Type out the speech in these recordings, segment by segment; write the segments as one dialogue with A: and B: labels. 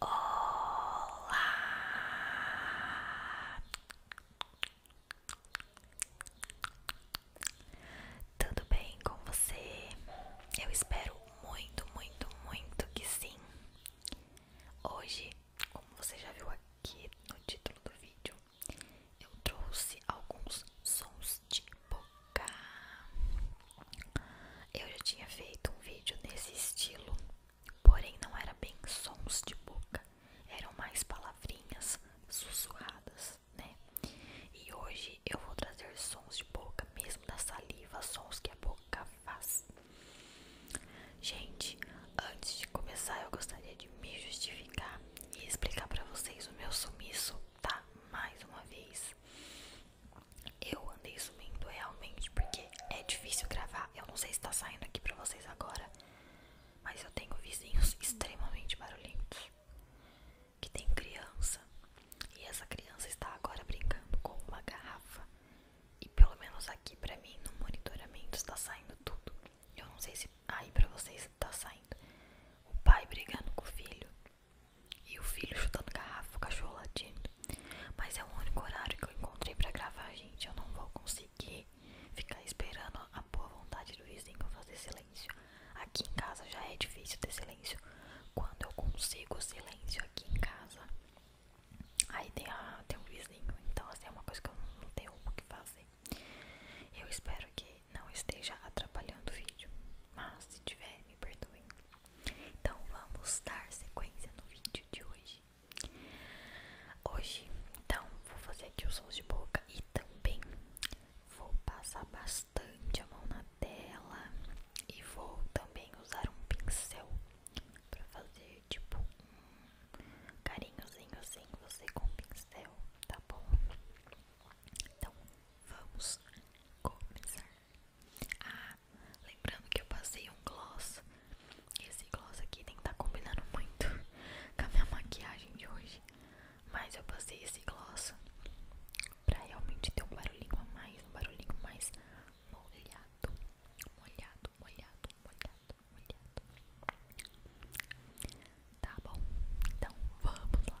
A: Olá! Tudo bem com você? Eu espero muito, muito, muito que sim. Hoje, como você já viu aqui no título do vídeo, eu trouxe alguns sons de boca. Eu já tinha feito um vídeo nesse estilo Porém, não eram bem sons de boca, eram mais palavrinhas sussurradas, né? E hoje eu vou trazer sons de boca, mesmo da saliva, sons que a boca faz. Gente, antes de começar, eu gostaria de me justificar e explicar para vocês o meu sumiço, tá? Mais uma vez. Eu andei sumindo realmente porque é difícil gravar. Eu não sei se está saindo aqui para vocês agora, mas eu tenho vizinhos extremamente barulhentos que tem criança e essa criança está agora brincando com uma garrafa. E pelo menos aqui para mim no monitoramento está saindo tudo. Eu não sei se aí para vocês está saindo o pai brigando com o filho, e o filho chutando garrafa, o cachorro latindo. Mas é o único horário que eu encontrei pra gravar, gente. Eu não vou conseguir ficar esperando a boa vontade do vizinho fazer silêncio. Aqui em casa já é difícil ter silêncio. Quando eu consigo silêncio aqui em casa, aí tem, a, tem um vizinho. Então, assim, é uma coisa que eu não tenho o que fazer. Eu espero que não esteja atrapalhando o vídeo. Mas se tiver, me perdoem. Então vamos dar sequência no vídeo de hoje. Hoje, então, vou fazer aqui os sons de boca e também vou passar bastante a mão na tela e vou também usar um pincel para fazer tipo um carinhozinho assim, você com pincel, tá bom? Então, vamos começar. Ah, lembrando que eu passei um gloss. Esse gloss aqui tem que estar tá combinando muito com a minha maquiagem de hoje. Mas eu passei esse gloss pra realmente ter um barulhinho a mais, um barulhinho mais molhado, molhado, molhado, molhado, molhado. Tá bom, então vamos lá.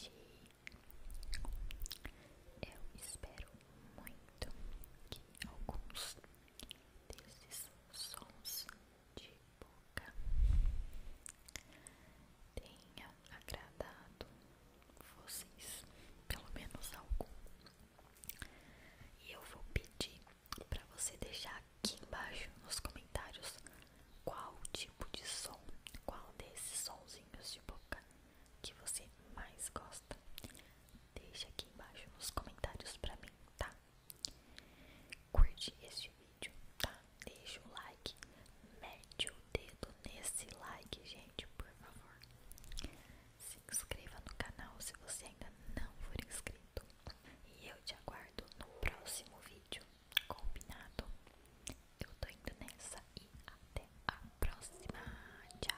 A: Gente, eu espero muito que alguns desses sons de boca tenham agradado vocês, pelo menos algum. E eu vou pedir para você deixar aqui embaixo nos comentários qual tipo de som, qual desses sonzinhos de boca que você mais gosta. Deixa aqui embaixo nos comentários para mim, tá? Curte este vídeo, tá? Deixa o like, mete o dedo nesse like, gente, por favor se inscreva no canal se você ainda não for inscrito. E eu te aguardo no próximo vídeo. Combinado? Eu tô indo nessa e até a próxima. Tchau.